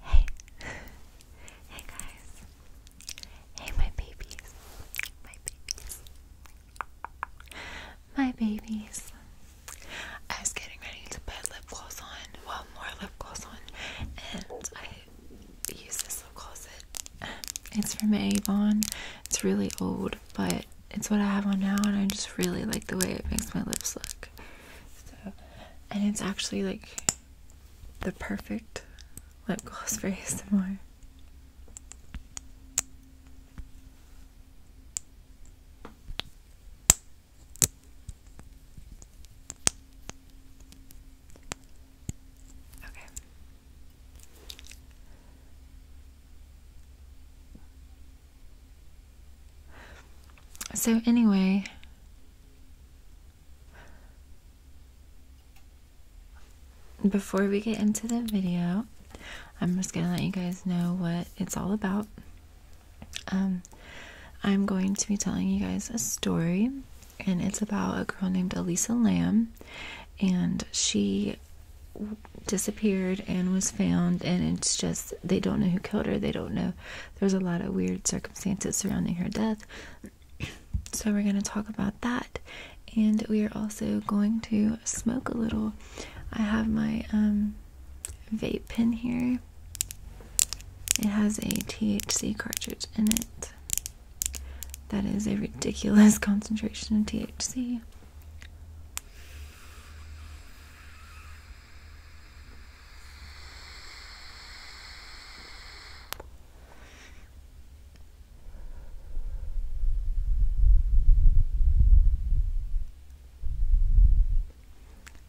Hey, hey guys, hey my babies, my babies, my babies. I was getting ready to put lip gloss on, well, more lip gloss on, and I use this lip gloss. It's from Avon. It's really old, but it's what I have on now, and I just really like the way it makes my lips look and it's actually like the perfect lip gloss for ASMR. Okay. So, anyway, before we get into the video, I'm just gonna let you guys know what it's all about. Um, I'm going to be telling you guys a story, and it's about a girl named Elisa Lamb, and she disappeared and was found, and it's just they don't know who killed her, they don't know there's a lot of weird circumstances surrounding her death. So, we're going to talk about that. And we are also going to smoke a little. I have my um, vape pen here, it has a THC cartridge in it. That is a ridiculous concentration of THC.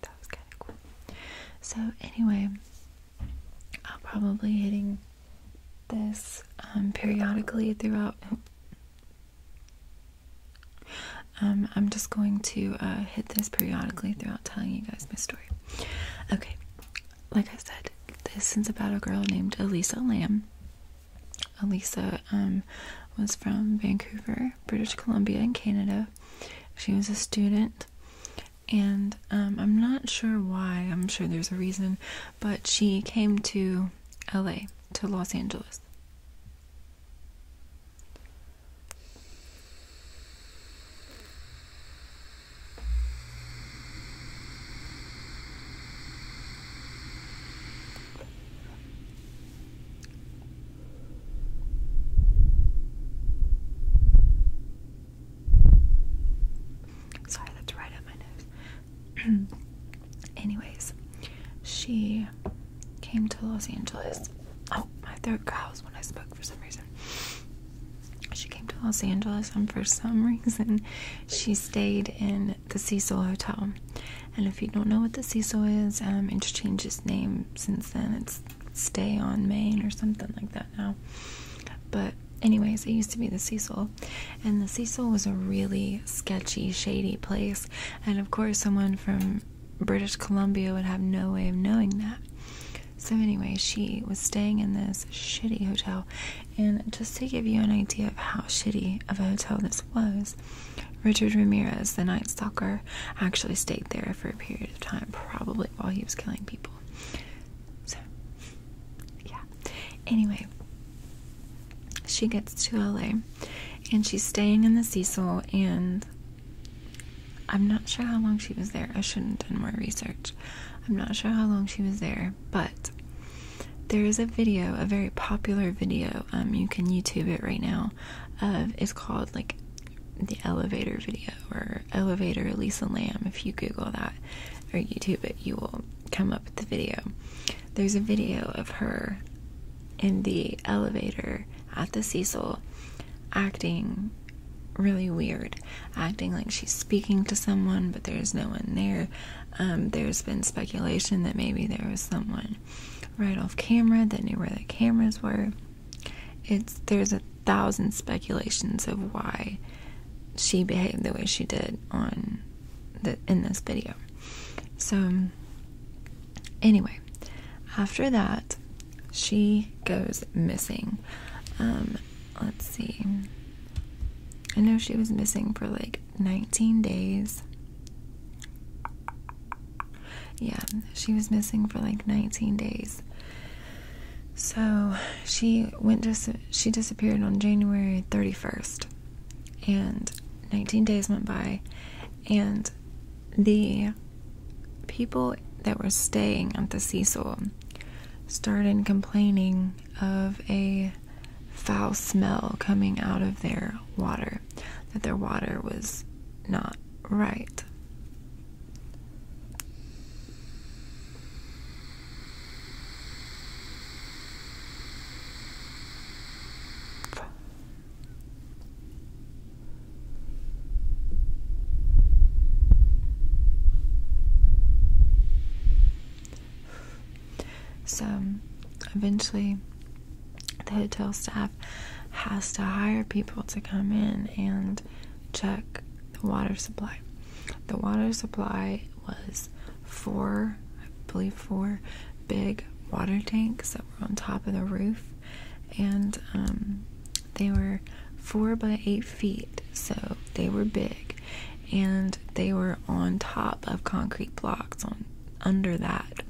That was kind of cool. So, anyway, I'll probably hitting this um, periodically throughout. Oh. Um, I'm just going to uh, hit this periodically throughout telling you guys my story. Okay, like I said, this is about a girl named Elisa Lamb. Elisa um, was from Vancouver, British Columbia, in Canada. She was a student, and um, I'm not sure why, I'm sure there's a reason, but she came to LA, to Los Angeles. Sorry, that's right at my nose. Anyways, she came to Los Angeles. Oh, my throat growls when I spoke for some reason. She came to Los Angeles, and for some reason, she stayed in the Cecil Hotel. And if you don't know what the Cecil is, um, it's changed its name since then. It's Stay on Main or something like that now. But, anyways, it used to be the Cecil. And the Cecil was a really sketchy, shady place. And of course, someone from British Columbia would have no way of knowing that. So, anyway, she was staying in this shitty hotel. And just to give you an idea of how shitty of a hotel this was, Richard Ramirez, the Night Stalker, actually stayed there for a period of time, probably while he was killing people. So, yeah. Anyway, she gets to LA and she's staying in the Cecil, and I'm not sure how long she was there. I shouldn't have done more research. I'm not sure how long she was there, but there is a video, a very popular video. Um, you can YouTube it right now. it's called like the elevator video or elevator Lisa Lamb. If you Google that or YouTube it, you will come up with the video. There's a video of her in the elevator at the Cecil acting really weird, acting like she's speaking to someone, but there's no one there. Um, there's been speculation that maybe there was someone right off camera that knew where the cameras were. It's there's a thousand speculations of why she behaved the way she did on in this video. So anyway, after that, she goes missing. Um, let's see. I know she was missing for like 19 days. Yeah, she was missing for like 19 days. So she went dis she disappeared on January 31st, and 19 days went by, and the people that were staying at the Cecil started complaining of a foul smell coming out of their water, that their water was not right. So eventually, the hotel staff has to hire people to come in and check the water supply. The water supply was four, I believe, four big water tanks that were on top of the roof, and um, they were four by eight feet, so they were big, and they were on top of concrete blocks on under that.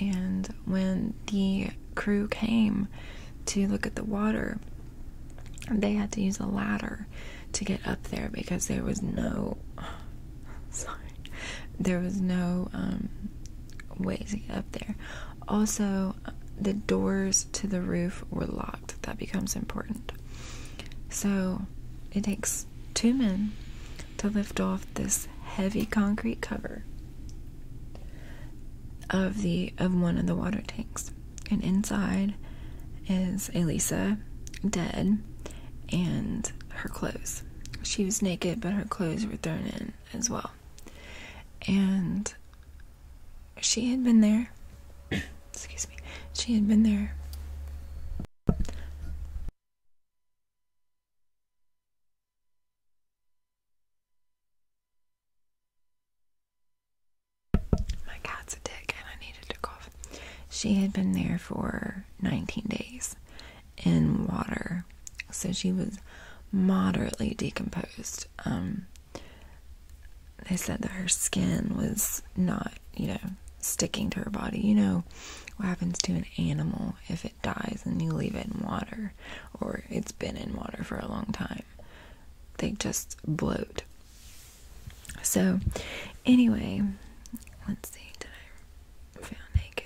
And when the crew came to look at the water, they had to use a ladder to get up there because there was no sorry there was no um Way up there. Also, the doors to the roof were locked. That becomes important. So, it takes two men to lift off this heavy concrete cover of the of one of the water tanks. And inside is Elisa dead and her clothes. She was naked, but her clothes were thrown in as well. And she had been there. Excuse me. She had been there. My cat's a dick and I needed to cough. She had been there for 19 days in water so she was moderately decomposed. Um, they said that her skin was not, you know, sticking to her body. You know what happens to an animal if it dies and you leave it in water or it's been in water for a long time? They just bloat. So, anyway, let's see. Did I found naked?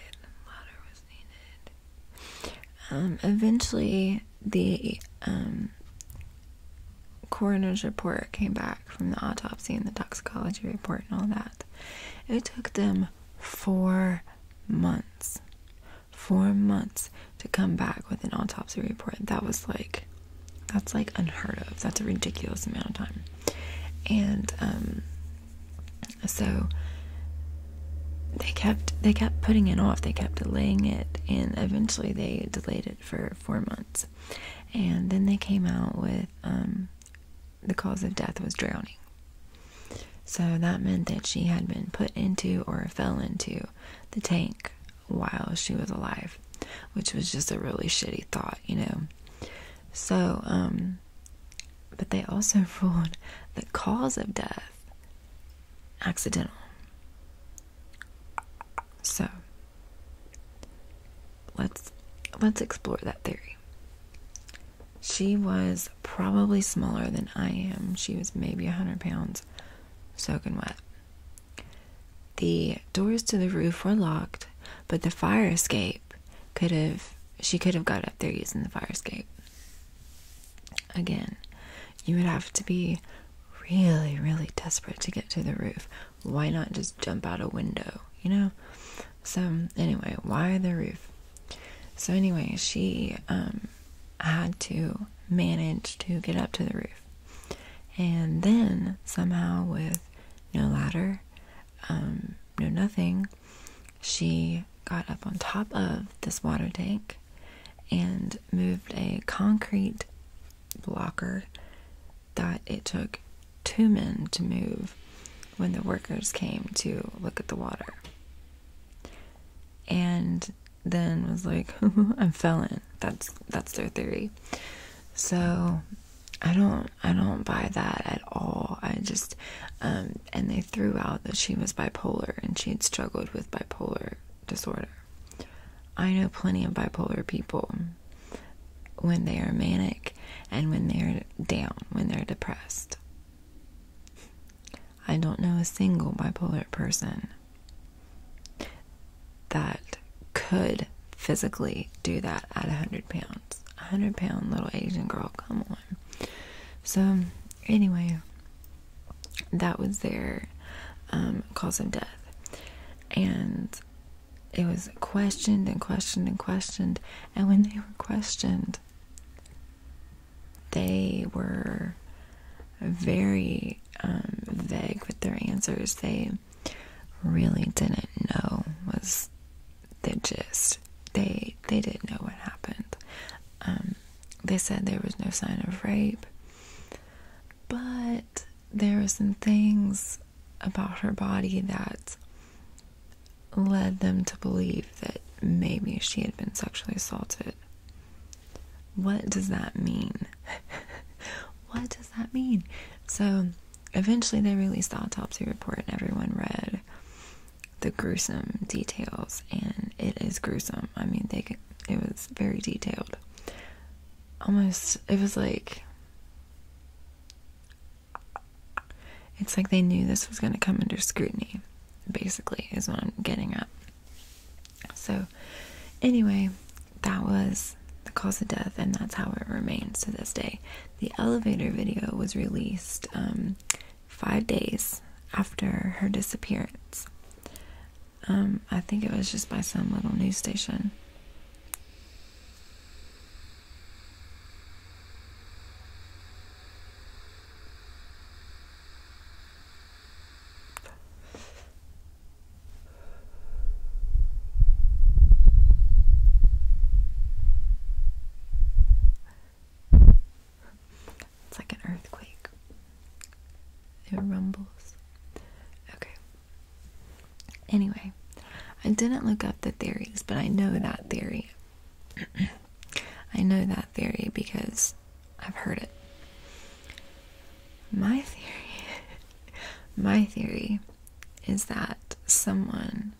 Um, eventually, the um, coroner's report came back from the autopsy and the toxicology report and all that. It took them four months. Four months to come back with an autopsy report. That was like, that's like unheard of. That's a ridiculous amount of time. And um, so they kept they kept putting it off. They kept delaying it, and eventually they delayed it for four months. And then they came out with um, the cause of death was drowning. So that meant that she had been put into or fell into the tank while she was alive, which was just a really shitty thought, you know. So, um, but they also ruled the cause of death accidental. So let's let's explore that theory. She was probably smaller than I am. She was maybe a 100 pounds soaking wet. The doors to the roof were locked, but the fire escape could have she could have got up there using the fire escape. Again, you would have to be really, really desperate to get to the roof. Why not just jump out a window, you know? So, anyway, why the roof? So, anyway, she um, had to manage to get up to the roof. And then, somehow, with no ladder, um, no nothing, she got up on top of this water tank and moved a concrete blocker that it took two men to move when the workers came to look at the water. And then was like, I'm felon. That's that's their theory. So I don't I don't buy that at all. I just um, and they threw out that she was bipolar and she had struggled with bipolar disorder. I know plenty of bipolar people when they are manic and when they're down, when they're depressed. I don't know a single bipolar person that could physically do that at 100 pounds. A 100 pound little Asian girl, come on. So, anyway, that was their um, cause of death. And it was questioned and questioned and questioned. And when they were questioned, they were very um, vague with their answers. They really didn't know was they just They they didn't know what happened. Um, they said there was no sign of rape, but there were some things about her body that led them to believe that maybe she had been sexually assaulted. What does that mean? what does that mean? So eventually they released the autopsy report and everyone read the gruesome details and it is gruesome. I mean, they could it. was very detailed. Almost, it was like. It's like they knew this was going to come under scrutiny, basically, is what I'm getting at. So, anyway, that was the cause of death, and that's how it remains to this day. The elevator video was released um, five days after her disappearance. Um, I think it was just by some little news station. It's like an earthquake. It rumbles. Okay. Anyway, I didn't look up the theories, but I know that theory. I know that theory because I've heard it. My theory, my theory is that someone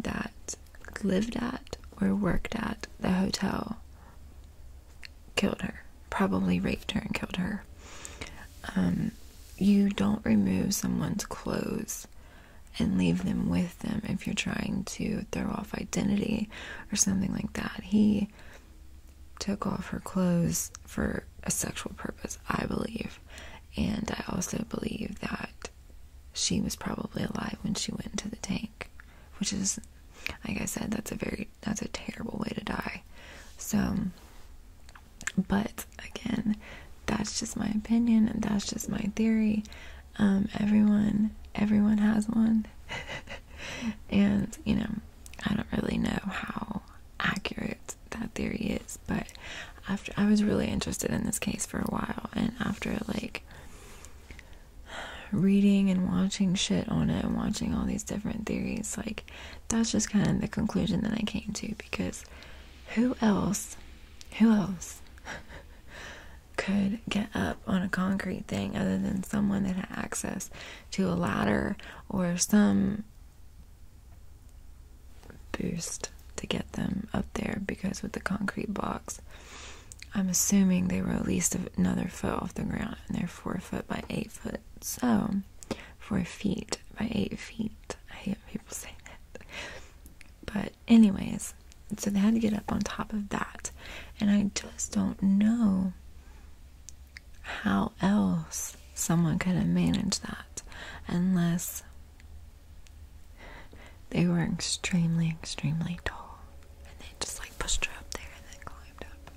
that lived at or worked at the hotel killed her, probably raped her and killed her. Um, you don't remove someone's clothes and leave them with them if you're trying to throw off identity or something like that. He took off her clothes for a sexual purpose, I believe. And I also believe that she was probably alive when she went into the tank which is like I said that's a very that's a terrible way to die so but again that's just my opinion and that's just my theory um everyone everyone has one and you know I don't really know how accurate that theory is but after I was really interested in this case for a while and after like reading and watching shit on it and watching all these different theories like that's just kind of the conclusion that I came to because who else who else could get up on a concrete thing other than someone that had access to a ladder or some boost to get them up there because with the concrete box I'm assuming they were at least another foot off the ground, and they're four foot by eight foot. So, four feet by eight feet. I hate people say that. But, anyways, so they had to get up on top of that. And I just don't know how else someone could have managed that unless they were extremely, extremely tall. And they just like pushed her up there and then climbed up.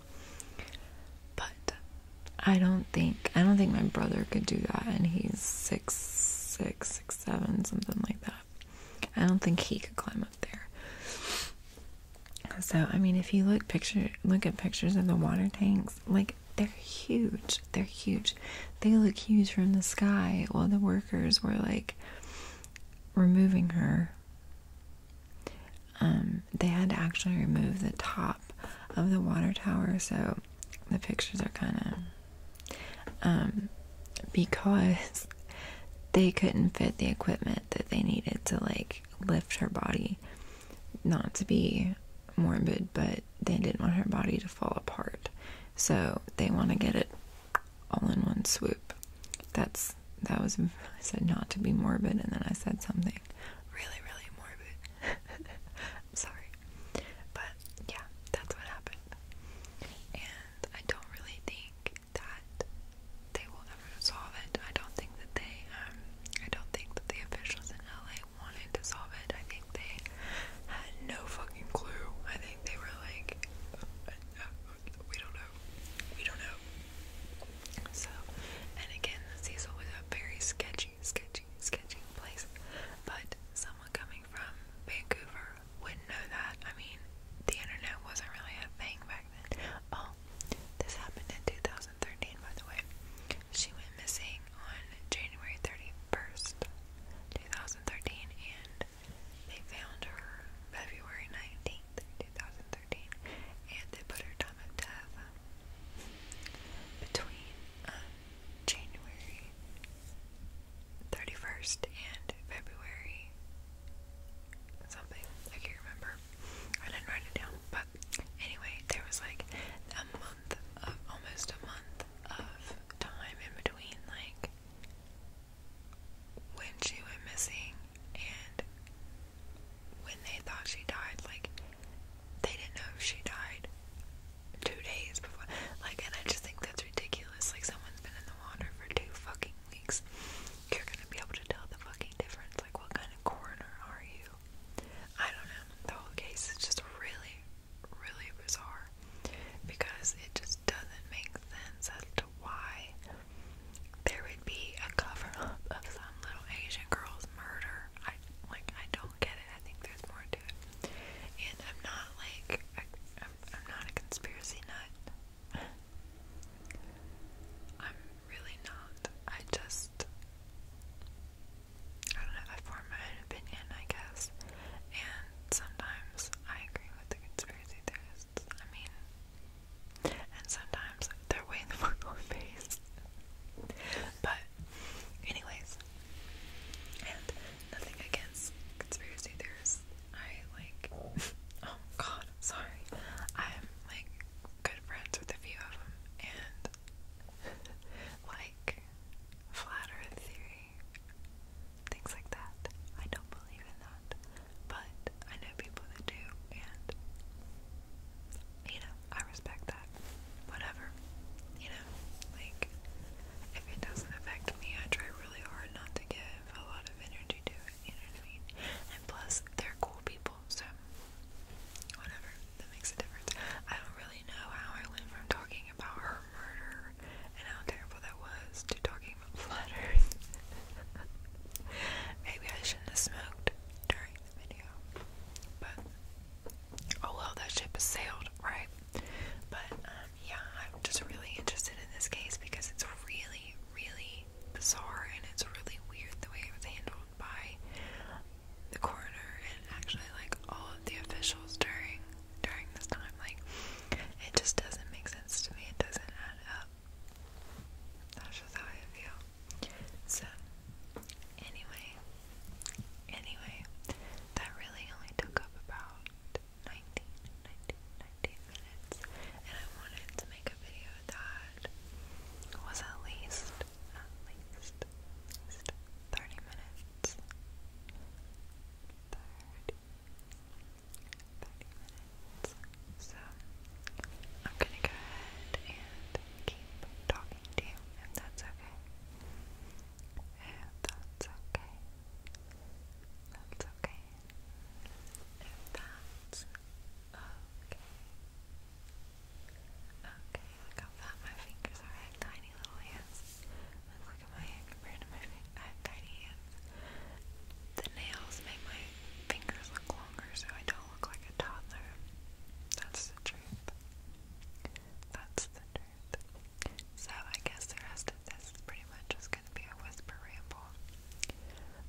But I don't think I don't think my brother could do that, and he's six, six, six, seven, something like that. I don't think he could climb up there. So I mean, if you look picture look at pictures of the water tanks, like they're huge. They're huge. They look huge from the sky. While the workers were like removing her um, they had to actually remove the top of the water tower, so the pictures are kind of um, because they couldn't fit the equipment that they needed to like lift her body, not to be morbid, but they didn't want her body to fall apart, so they want to get it all in one swoop. That's that was I said not to be morbid and then I said something really really morbid. I'm sorry. But yeah, that's what happened. And I don't really think that they will ever solve it. I don't think that they um, I don't think that the officials in LA wanted to solve it. I think they had no fucking clue. I think they were like uh, uh, uh, we don't know know. We don't know. So, and again, the Cecil was a very sketchy, sketchy, sketchy place. But someone coming from Vancouver wouldn't know that. I mean, the internet wasn't really a thing back then. Oh, this happened in 2013, by the way. She went missing on January 31st, 2013, and they found her February 19th, 2013 and they put her time of death between um, January 31st and February something. I can't remember. I didn't write it down, but anyway, there was like a month of almost a month of time in between, like when she went missing and when they thought she died, like they didn't know if she died two days before. Like, and I just think that's ridiculous. Like, someone's been in the water for two fucking weeks. You're gonna be able to tell the fucking difference. Like, what kind of coroner are you? I don't know. The whole case is just really, really bizarre because it just doesn't make sense at all why there would be a cover of some little Asian girl's murder. I like I don't get it. I think there's more to it. And I'm not like I, I'm, I'm not a conspiracy nut. I'm really not. I just I don't know. I form my own opinion, I guess. And sometimes I agree with the conspiracy theorists. I mean, and sometimes they're way in the face. But, anyways, and nothing against conspiracy theorists. I like, oh god, sorry. I'm like good friends with a few of them, and like flat earth theory, things like that. I don't believe in that but I know people that do, and you know, I respect that. Whatever. You know, like, if it doesn't affect me, I try really hard not to give a lot of energy to it, you know what I mean? And plus, they're cool people, so whatever. That makes a difference. I don't really know how I went from talking about her murder and how terrible that was to talking about flat Maybe I shouldn't have smoked during the video. But oh well that ship has sailed, right? But um, yeah, I'm just really interested in this case because it's really, really bizarre and it's really weird the way it was handled by the coroner and actually like all of the officials during during this time. Like it just doesn't make sense to me. It doesn't add up. That's just how I feel. So, anyway, anyway, that really only took up about 19, minutes, and I wanted to make a video that was at least, at least, at least 30 minutes. 30, 30 minutes. So I'm gonna go ahead and keep talking to you if that's okay. If that's okay. That's okay. If that's okay. Okay, look how fat my fingers are. tiny little hands. Let's look at my hand compared to my fingers. I have tiny hands. The nails make my fingers look longer, so I don't look like a toddler. That's the truth. That's the truth. So I guess the rest of this pretty much just gonna be a whisper ramble.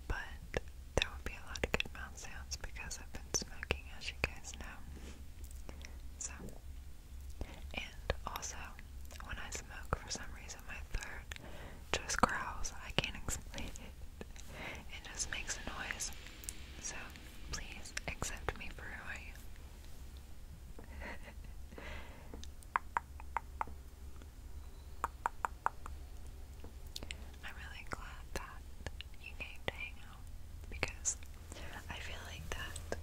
But there will be a lot of good mouth sounds because I've been smoking as you guys know. So and also when I smoke for some reason my throat just growls. I can't explain it just makes a noise. So please accept me for who I am. I'm really glad that you came to hang out because I feel like that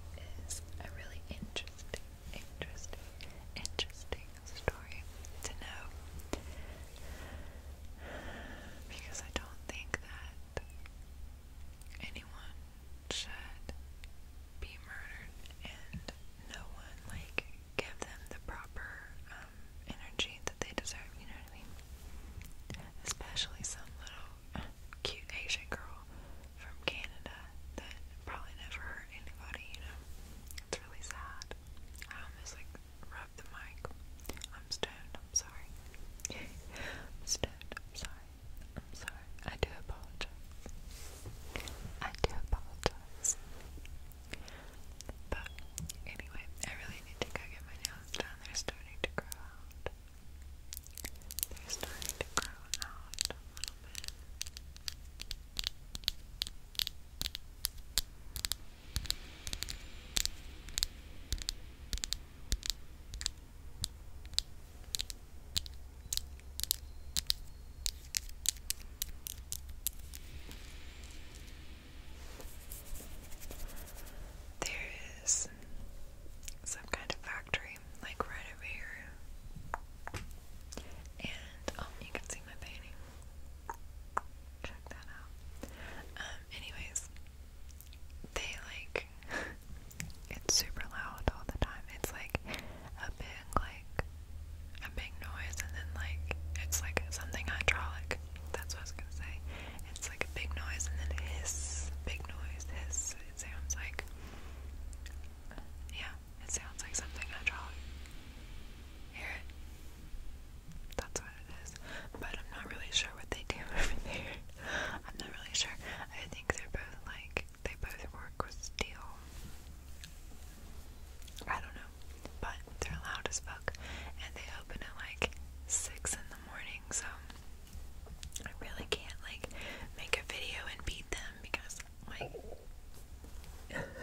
is a really interesting, interesting, interesting story to know. Because I don't think that anyone should be murdered and no one, like, give them the proper um, energy that they deserve, you know what I mean? Especially some little cute Asian girl from Canada that probably never hurt anybody, you know? It's really sad. Um, I like, rub the mic. I'm stoned, I'm sorry. i I'm sorry. I'm sorry. I do apologize. I do apologize. But anyway, I really need to go get my nails done. They're starting to grow out. They're starting to grow out a little bit. There is some kind of factory, like right over here. And um, you can see my painting. Check that out. Um, anyways, they like it's super loud all the time. It's like a big like a big noise and then like it's like something hydraulic. That's what I was gonna say. It's like a big noise and then hiss, big noise, hiss. It sounds like yeah, it sounds like something hydraulic. Hear it? That's what it is. But I'm not really sure what they do over there. I'm not really sure. I think they're both like they both work with steel. I don't know. But they're loud as fuck. And they open at like six in the morning, so I really can't like make a video and beat them because like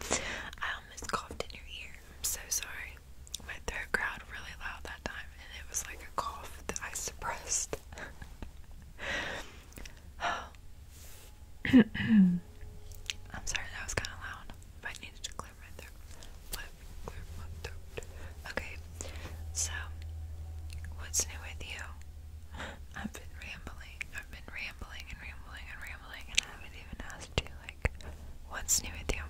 I almost coughed in your ear. I'm so sorry. My throat growled really loud that time, and it was like a cough that I suppressed. I'm sorry, that was kind of loud. But I to clear my throat. Okay, so what's new with you? I've been rambling. I've been rambling and rambling and rambling, and I haven't even asked do like? What's new with you?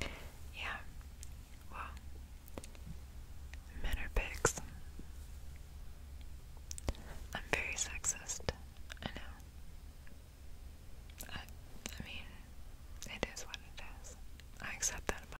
yeah. Well, men are pigs. I'm very sexist. I know. I, mean, it is what it is. I accept that